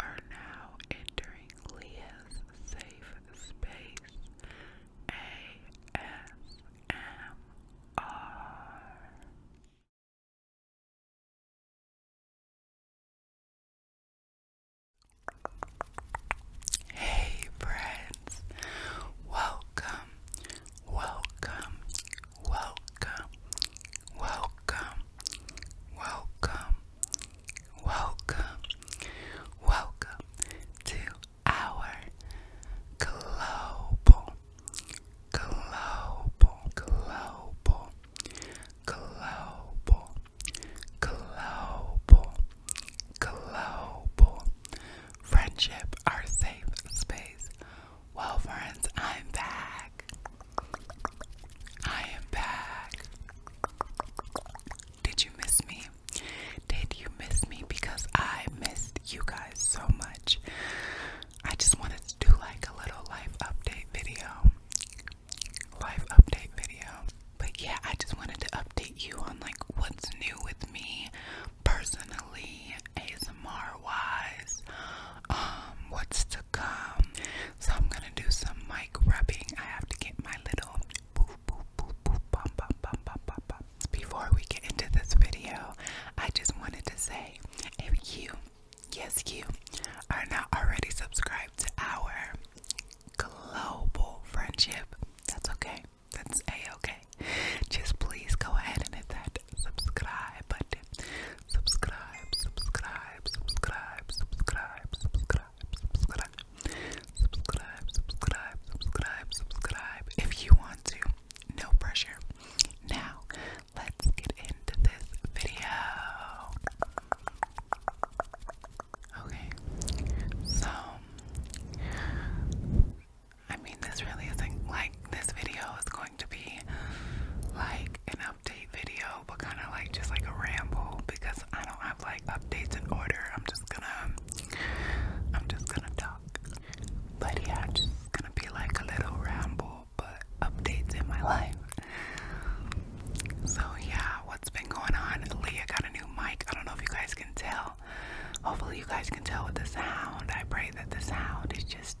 are now entering Leah's safe space ASMR. Hey, friends, welcome, welcome, welcome, welcome, welcome, welcome, welcome to our global, global, global, global, global, global friendship, our safe space. Well, friends, I'm back. I am back. Did you miss me? Did you miss me? Because I missed you guys so much. I just wanted to do like a little life update video. Life update video. But yeah, I just wanted to update you on like what's new with me personally, ASMR wise, um, what's so I'm gonna do some mic rubbing. I have to get my little Before we get into this video, I just wanted to say if you, yes you, are not already subscribed to our global friendship, that's okay. That's a okay. Just please go ahead and hit that subscribe button subscribe, subscribe, subscribe, subscribe, subscribe, subscribe, subscribe, subscribe, subscribe, subscribe. If you want to, no pressure. Now, let's get into this video. Okay, so I mean, this really isn't like this video is going going to be like an update video, but kind of like just like a ramble because I don't have like updates in order. I'm just gonna, I'm just gonna talk. But yeah, just gonna be like a little ramble, but updates in my life. So yeah, what's been going on? Leah got a new mic. I don't know if you guys can tell. Hopefully you guys can tell with the sound. I pray that the sound is just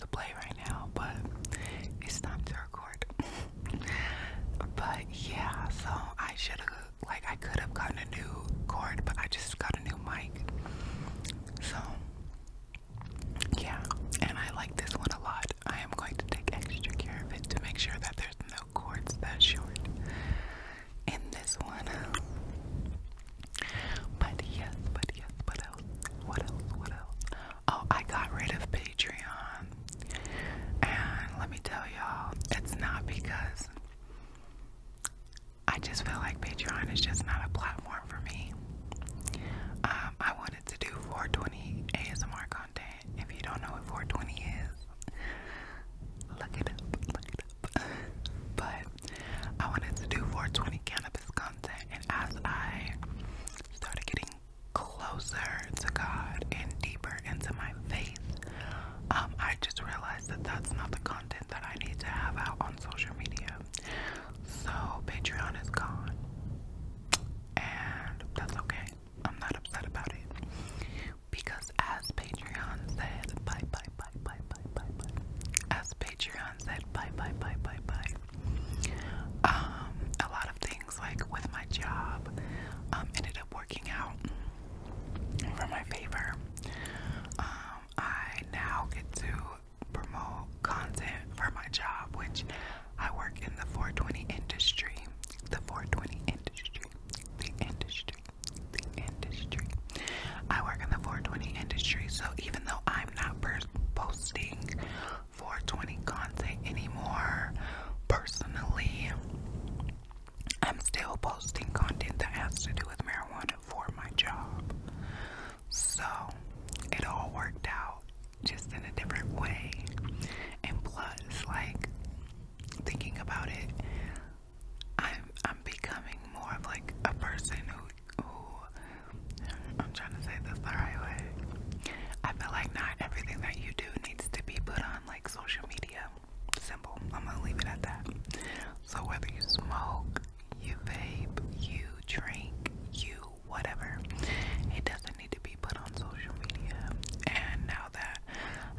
to play right now, but it's time to record. but yeah, so I should have, like, I could have gotten a new cord, but I just got a new mic. So, yeah, and I like this one a lot. I am going to take extra care of it to make sure that there's no cords that short in this one. But yes, but yes, but what else? What else? Oh, I got rid of Patreon. And let me tell y'all, it's not because I just feel like Patreon is just not a platform for me. Um, I wanted to do 420 ASMR content. If you don't know what 420 is, look it up. Look it up. but I wanted to do 420 cannabis content. And as I started getting closer to God and deeper into my faith, um, I just realized that that's not the content that I need to have out on social media. So Patreon is gone, and that's okay. I'm not upset about it because, as Patreon said, bye bye bye bye bye bye bye. As Patreon said, bye bye bye bye bye. Um, a lot of things like with my job um, ended up working out for my favor. Um, I now get to promote content for my job, which I work in the 420 industry. The 420 industry. The industry. The industry. I work in the 420 industry, so even though I'm not posting 420 content anymore. Personally, I'm still posting content that has to do with marijuana for my job. So it all worked out just in a different way. And plus, like thinking about it, I'm I'm becoming more of like a person who ooh, I'm trying to say this the right way. I feel like not everything that you do needs to be put on like social media. Simple. I'm gonna leave it at that. So whether you smoke, you vape, you drink, you whatever, it doesn't need to be put on social media. And now that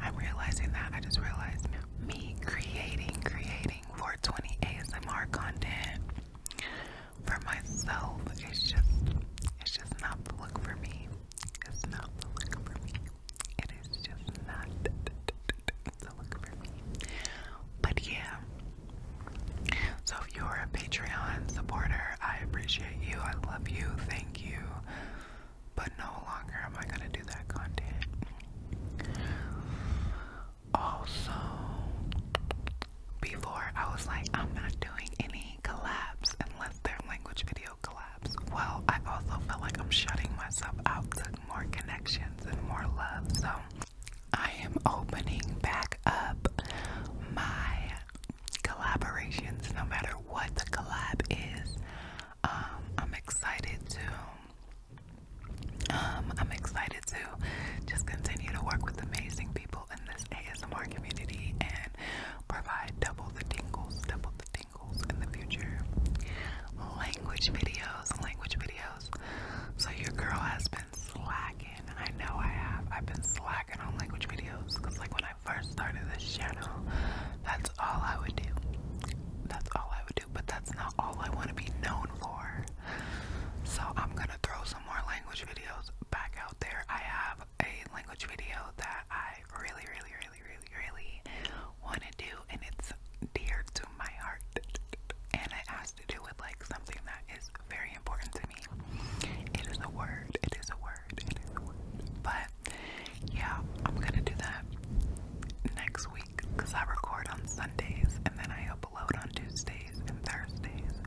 I'm realizing that, I just realized me creating, creating, for twenty ASMR content for myself. It's just it's just not the look for me. It's not the look for me. It is just not the look for me. But yeah. So if you're a Patreon supporter, I appreciate you. I love you. Thank you. But no longer am I gonna do that content also before I was like I'm not doing any collabs unless they're language video collabs. Well, I also feel like I'm shutting myself out to more connections and more love. So I am opening back up my collaborations no matter what the collab is. Um, I'm excited to um, I'm excited to just continue to work with amazing people in this ASMR community and provide double the tingles, double the tingles in the future. Language videos, language videos. So your girl has been slacking. I know I have. I've been slacking on language videos because like when I first started this channel, that's all I would do. That's all I would do but that's not all I want to be known for. So I'm gonna throw some more language videos back out there. I have a language video that I really, really, really, really, really want to do, and it's dear to my heart. And it has to do with like something that is very important to me. It is a word. It is a word. It is a word. But yeah, I'm gonna do that next week because I record on Sundays and then I upload on Tuesdays and Thursdays.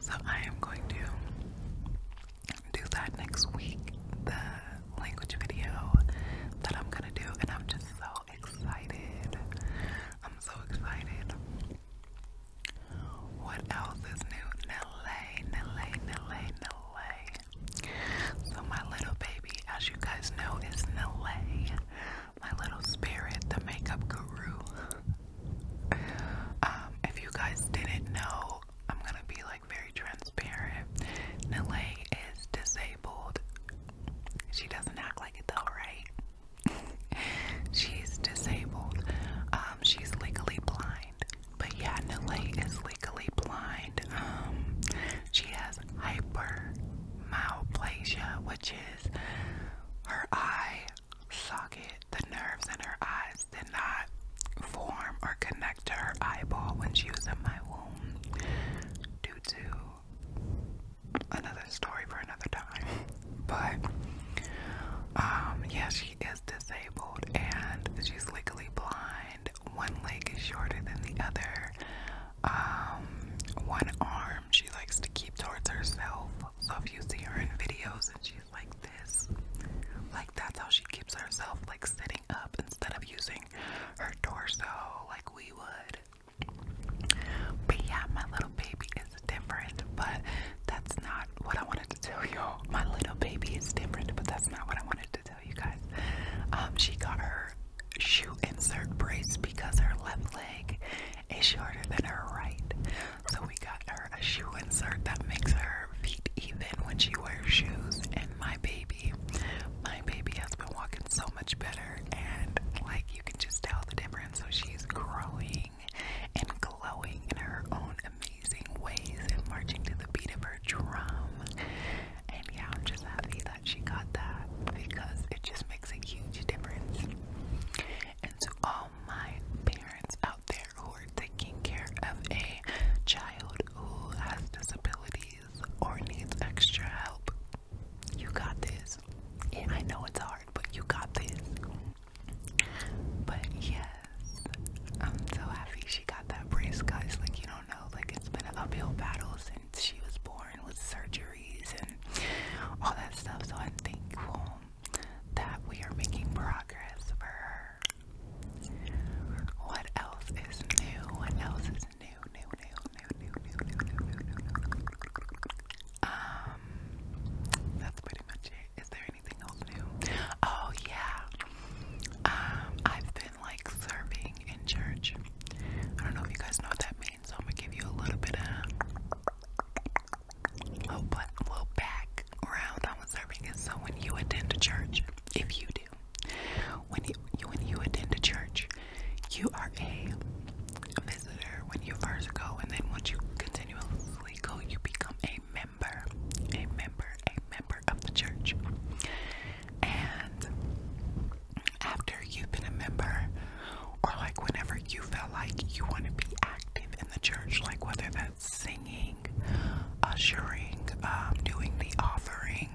So I am going to do that next week, the language video that I'm gonna do, and I'm just so excited. I'm so excited. What else is new? Nele, Nele, Nele, Nele. So, my little baby, as you guys know, is Nile, my little spirit, the makeup guru. Um, if you guys didn't know, I'm gonna be like very transparent. Nile is disabled. She doesn't act like it though, right? she's disabled. Um, she's legally blind. But yeah, Nile is legally blind. Um, she has hypermyoplasia, which is her eye socket, the nerves in her eyes did not form or connect to her eyeball when she was in my womb due to another story for another time. But um, yeah she is disabled and she's legally blind one leg is shorter than the other. Um, one arm she likes to keep towards herself. So if you see her in videos and she's like this, like that's how she keeps herself like sitting up instead of using her torso like we would. But yeah, my little baby is different, but that's not what I wanted to tell y'all. My little baby is different, but that's not what I wanted to you guys. Um, she got her shoe insert brace because her left leg is shorter than her right. So we got her a shoe insert that makes her feet even when she wears shoes. And my baby, my baby has been walking so much better, and like you can just tell the difference. So she's growing and glowing in her own amazing ways and marching to the beat of her drum. And yeah, I'm just happy that she got that because it just makes a huge difference. And to all my parents out there who are taking care of a child who has disabilities or needs extra help, you got this. Yeah, I know it's hard, but you got this. But yes, I'm so happy she got that brace, guys. Like, you don't know, like, it's been uphill battles, since she was born with surgeries and all that stuff. So, I'm thankful that we are making progress for her. What else is new? What else is new, new, new, new, new, new, new, new, new, new. Um, that's pretty much it. Is there Oh yeah. Um, I've been like serving in church. I don't know if you guys know what that means, so I'm gonna give you a little bit of little little back on serving So when you attend a church, if you do, when you when you attend a church, you are a visitor when you first go, and then once you continuously go, you become a member, a member, a member of the church. And after you've been a member, or like whenever you felt like you want to be active in the church, like whether that's singing, ushering, um, doing the offering,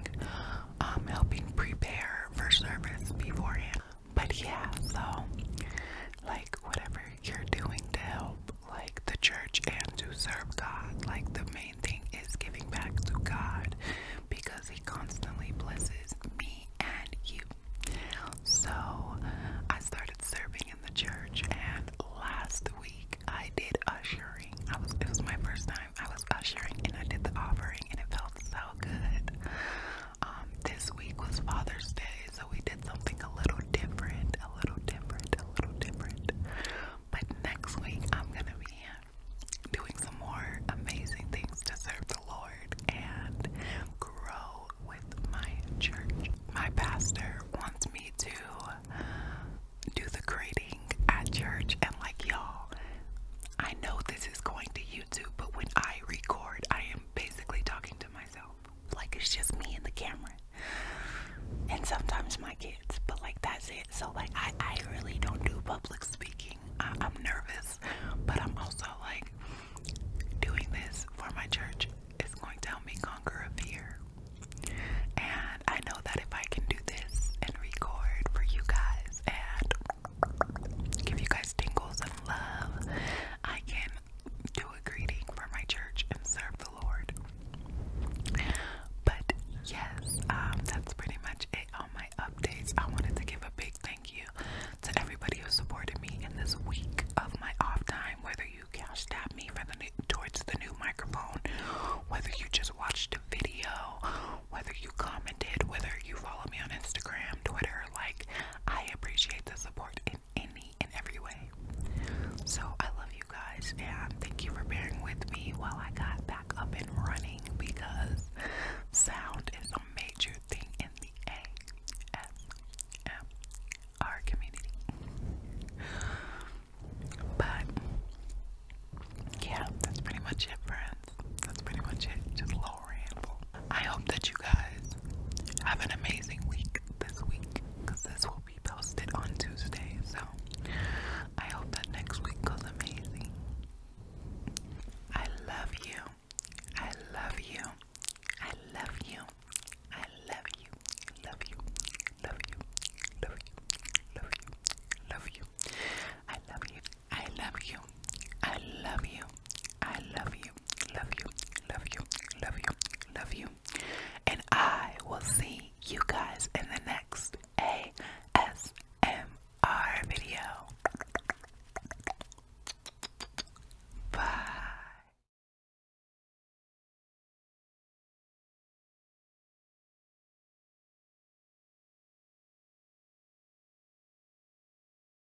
um, helping prepare for service beforehand. But yeah, so like whatever you're doing to help like the church and to serve God. Like the main thing is giving back to God because He constantly blesses me and you. So I started serving in the church, and last week I did ushering. I was it was my first time. I was ushering, and I did the offering, and it felt so good. Um, this week was Father's Day so we did something a little different, a little different, a little different. But next week, I'm gonna be doing some more amazing things to serve the Lord and grow with my church. My pastor wants me to do the grading at church, and like y'all, I know this is going to YouTube, but when I record, I am basically talking to myself. Like it's just me and the camera. And sometimes my kids, but like that's it. So like I, I really don't do public speaking. I, I'm nervous, but I'm also like doing this for my church. It's going to help me conquer a fear. And I know that if I can do this and record for you guys and give you guys tingles and love, I can do a greeting for my church and serve the Lord. But yes, um, that's pretty much it on my updates. I wanted to give a big thank you to everybody who supported me in this week of my off time, whether you cash tapped me for the new, the new microphone, whether you just watched a video, whether you commented, whether you follow me on Instagram, Twitter, like I appreciate the support any and every way. So I love you guys and thank you for bearing with me while I got back up and running because sound is a major thing in the ASMR community. But yeah, that's pretty much it, friends. That's pretty much it. Just long I hope that you guys have an amazing week this week this will be posted on Tuesday. So I hope that next week goes amazing. I love you. I love you. I love you. I love you. Love you. Love you. Love you. Love you. Love you. I love you. I love you. I love you. I love you love you, love you, love you, love you. And I will see you guys in the next ASMR video. Bye.